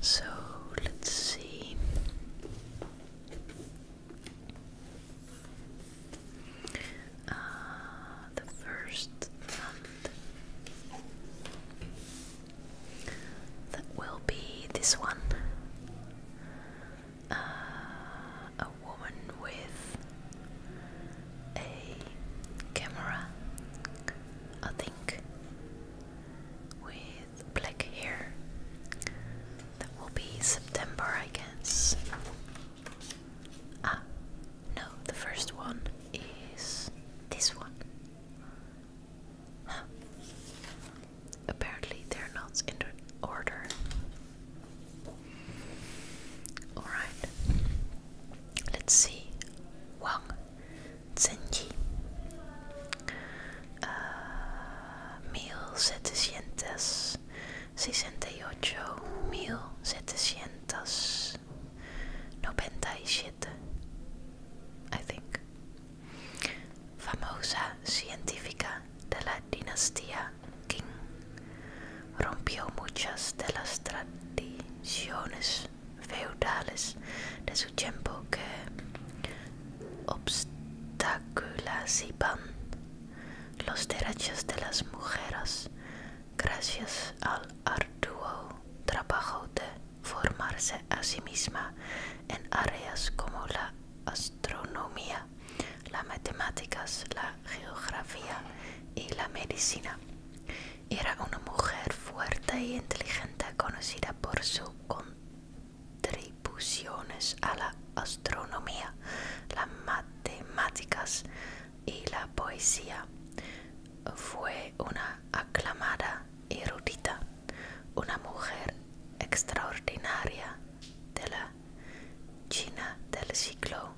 So let's see. Uh, the first one that will be this one uh, a woman with a camera, I think, with black hair. That will be September, I guess. Ah, no, the first one is this one. Apparently, they're not in order. Alright. Let's see. Wang Zhenji, uh, Mil setecientos sesenta y ocho, mil I think. Famosa científica de la dinastía Qing, rompió muchas de las tradiciones feudales de su tiempo que obstaculizaban los derechos de las mujeres gracias al arduo trabajo de formarse a sí misma en áreas como la astronomía, las matemáticas, la geografía y la medicina. Era una mujer fuerte e inteligente conocida por sus contribuciones a la astronomía, las matemáticas y la poesía. Fue una aclamada erudita, una mujer extraordinaria de la China del siglo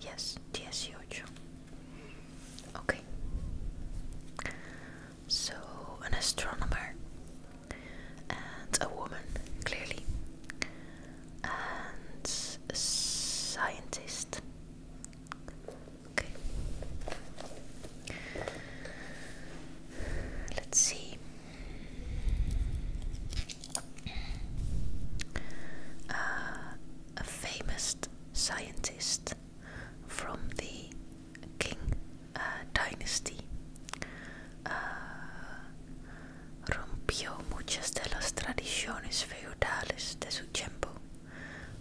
yes, 18. Okay. So, an astronomer and a woman, clearly, and a scientist. Okay. Let's see. Uh, a famous scientist from the Qing uh, dynasty. Uh, rompió muchas de las tradiciones feudales de tiempo.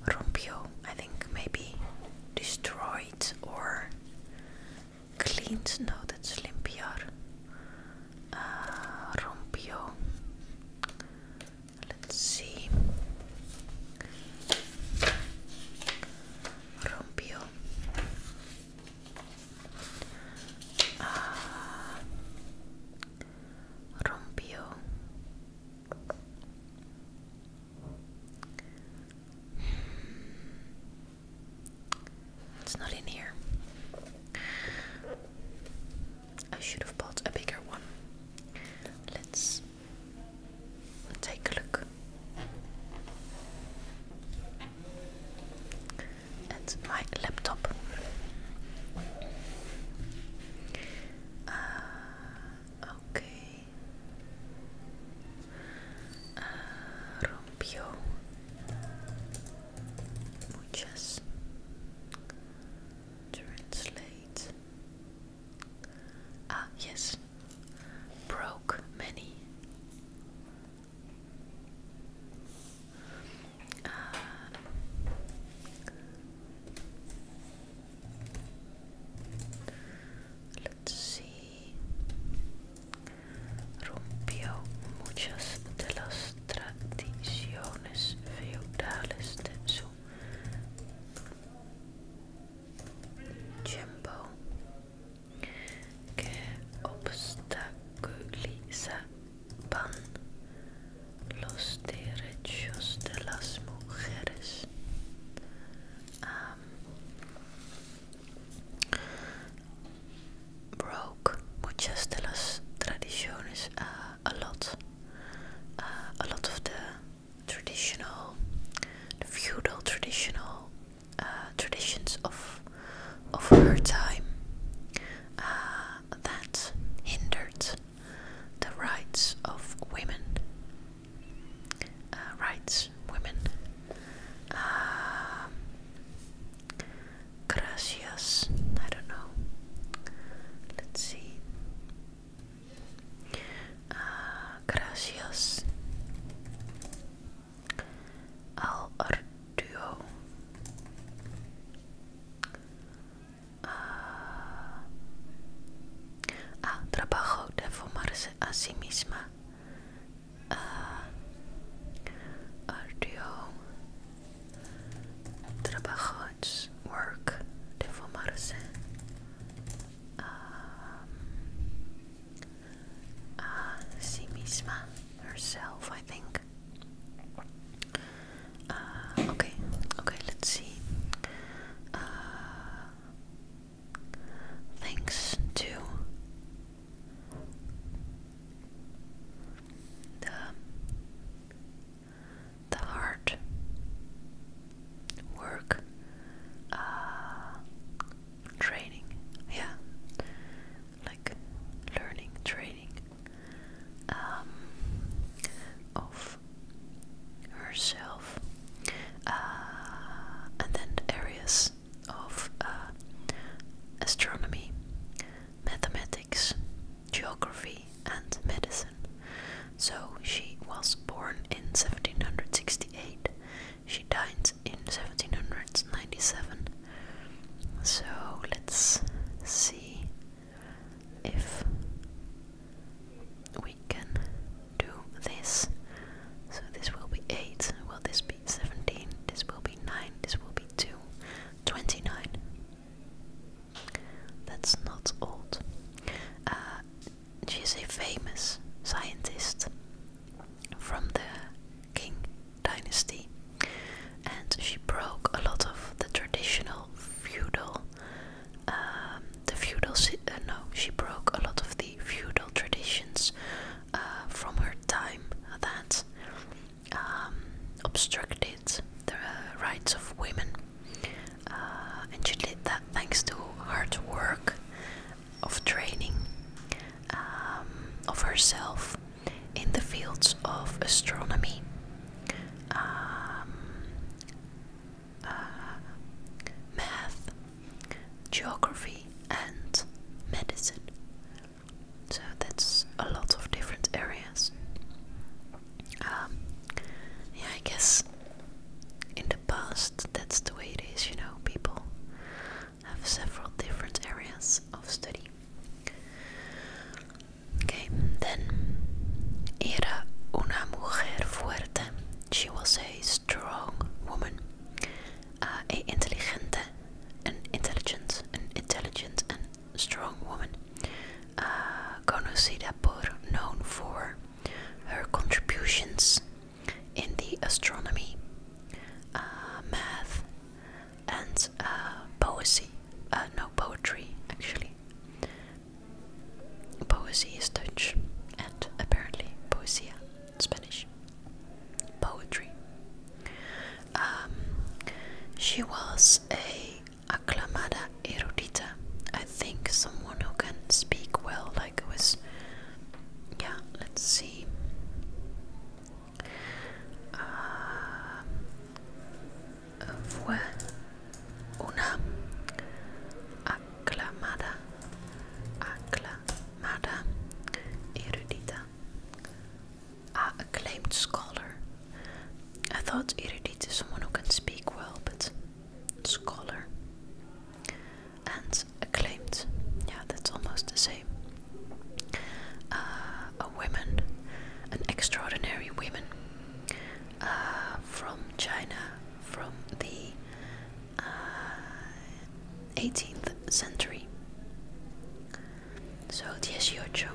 Rompió, I think maybe destroyed or cleaned. No, that's limpiar let ah, Let's see. Rompió. Uh, rompió. It's not in here. I should have bought a bigger one. Let's take a look at my laptop. Uh, okay. Uh, rompió muchas translate ah yes broke many ah. let's see rompió muchas de las tradiciones feudales de su tiempo que obstaculizaban los derechos de las mujeres. broke muchas de las tradiciones, uh, a lot, uh, a lot of the traditional, feudal traditional uh, traditions of of her time uh, that hindered the rights of women, rights women. Um, Gracias. I don't know. Let's see. Uh, gracias. Al Arduo. ah, uh, trabajo de formarse a misma audio trabajos work de um, sí misma herself I think uh, okay okay let's see uh, thanks to the the hard work uh, training yeah like learning training um, of herself uh, and then the areas of uh, astronomy, mathematics, geography, and medicine. So she was born in 1768. She died in 1797. So let's see if we can do this. So this will be 8. Will this be 17, this will be 9, this will be 2, 29. That's not old. Uh, she's a famous scientist from the Qing dynasty, and she broke a lot of the traditional feudal. Um, the feudal, uh, no, she broke a lot of the feudal traditions uh, from her time that um, obstructed the rights of women. Uh, and she did that thanks to hard work of training um, of herself in the fields of astronomy. Um, uh, math geography, and medicine. So that's a lot of different areas. Um, yeah, I guess in the past that's the way it is, you know, people have several different areas of study. Okay, then era una mujer fuerte. She was a strong woman uh, a an intelligent, an intelligent and strong woman, uh, known for her contributions in the astronomy, uh, math, and uh, uh, no, poetry actually. Poetry is Dutch, and apparently poesia Spanish poetry. Um, she was a aclamada erudita. I think someone who can speak well, like it was. Yeah, let's see. Um, fue una aclamada acclamada erudita, acclaimed scholar. I thought erudite is someone who can speak well, but scholar and acclaimed, yeah, that's almost the same. Uh, a woman, an extraordinary woman uh, from China, from the 18th uh, century. So, your dieciocho,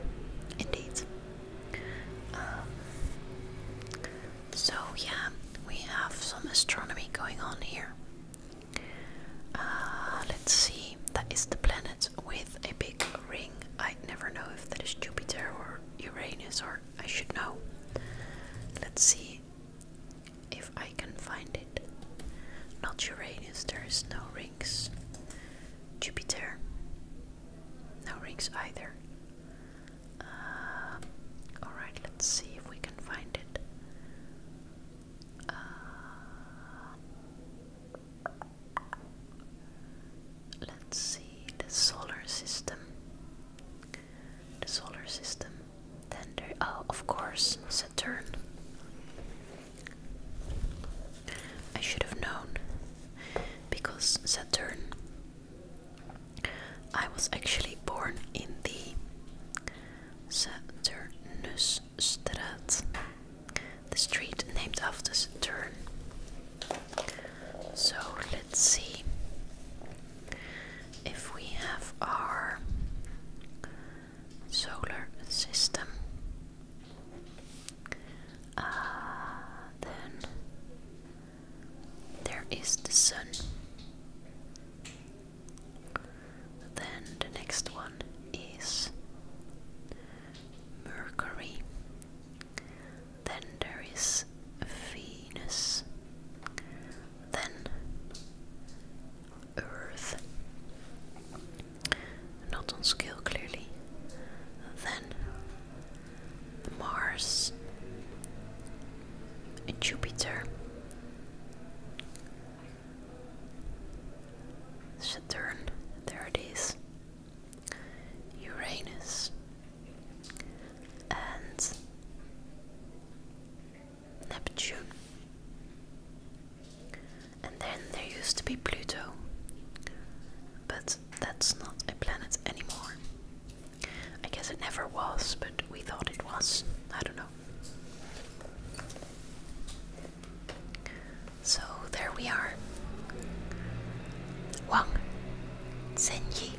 indeed. Um, so, yeah, we have some astronomy going on here. Uh, let's see, that is the planet with a big ring. I never know if that is Jupiter or Uranus, or I should know. Let's see, if I can find it. Not Uranus, there is no rings. Jupiter. No rings either. Uh, alright, let's see if we can find it. Uh, let's see the solar system. The solar system Thunder. Oh, of course, Saturn. I should have known because Saturn. I was actually born in the Saturnusstraat, the street named after Saturn. So let's see if we have our solar system, uh, then there is the sun. Then the next one is Mercury. Then there is Venus, then Earth, not on scale clearly, then Mars, Jupiter, Saturn, there it is, Uranus and Neptune. And then there used to be Pluto, but that's not a planet anymore. I guess it never was, but we thought it was. I don't know. So there we are. Wang, Zhenyi,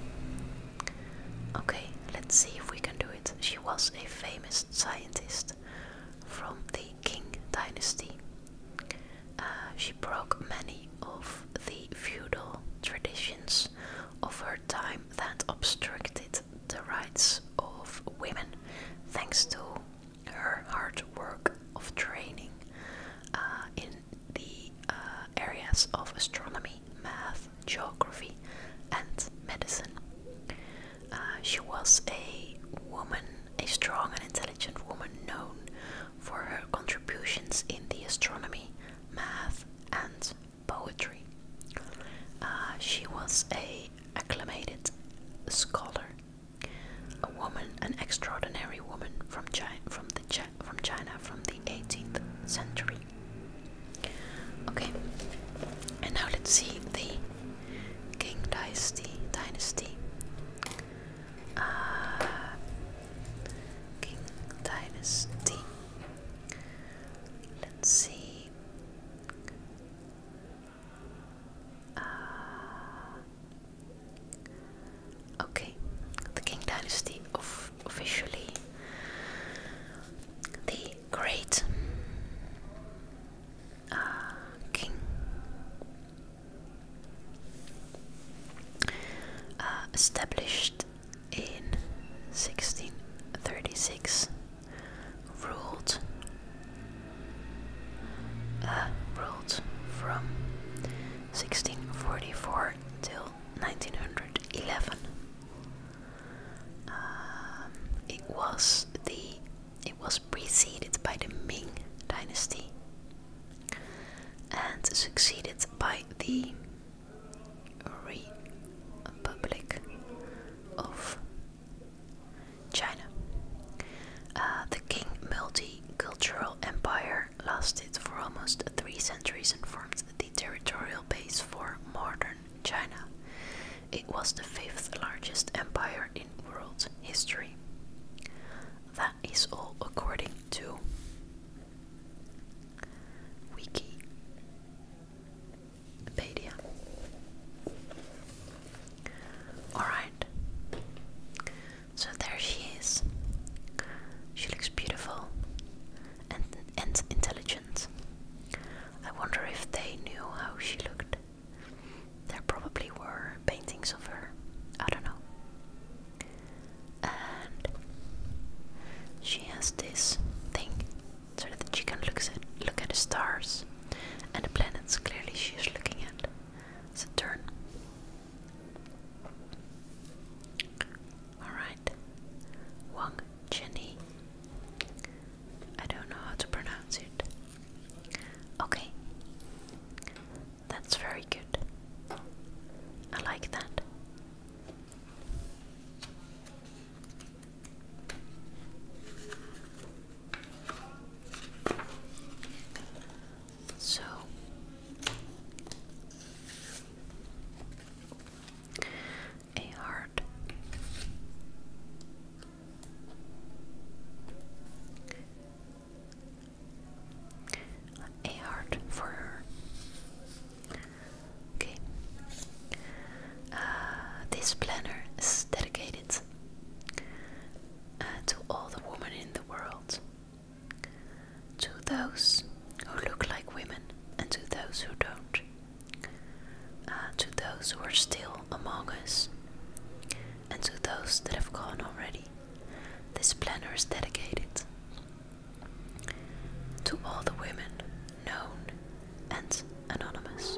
Okay, let's see if we can do it. She was a famous scientist from the Qing dynasty. Uh, she broke many of the feudal traditions of her time that obstructed the rights of women, thanks to her hard work of training uh, in the uh, areas of astronomy, math, geography, and medicine. Uh, she was a woman, a strong and intelligent woman known for her contributions in the astronomy, math, and poetry. Uh, she was a acclaimed scholar, a woman, an extraordinary woman from China, from the from China from the 18th century. Okay, and now let's see the King Dynasty. Dynasty. Uh, King Dynasty. Let's see. Uh, Okay, the Qing Dynasty officially the great uh, king. Uh, established in 1636, ruled uh, ruled from 1644 till 1911. Um, it was the it was preceded by the Ming Dynasty and succeeded by the Republic of China. Uh, the Qing multicultural Empire lasted for almost three centuries and formed the territorial base for modern China. It was the fifth largest empire in world history. That is all according to Wikipedia. Alright. So there she is. She looks beautiful and, and intelligent. I wonder if they knew how she looked. There probably were paintings of her. I don't know. And she has this thing so that she can look at, look at the stars and the planets clearly she is looking at. Saturn. Alright. Wang Chenny. I don't know how to pronounce it. Okay. That's very good. I like that. So a heart a heart for Okay. Uh, this planner is dedicated uh, to all the women in the world to those who look like women and to those who don't, uh, to those who are still among us, and to those that have gone already, this planner is dedicated. To all the women, known and anonymous.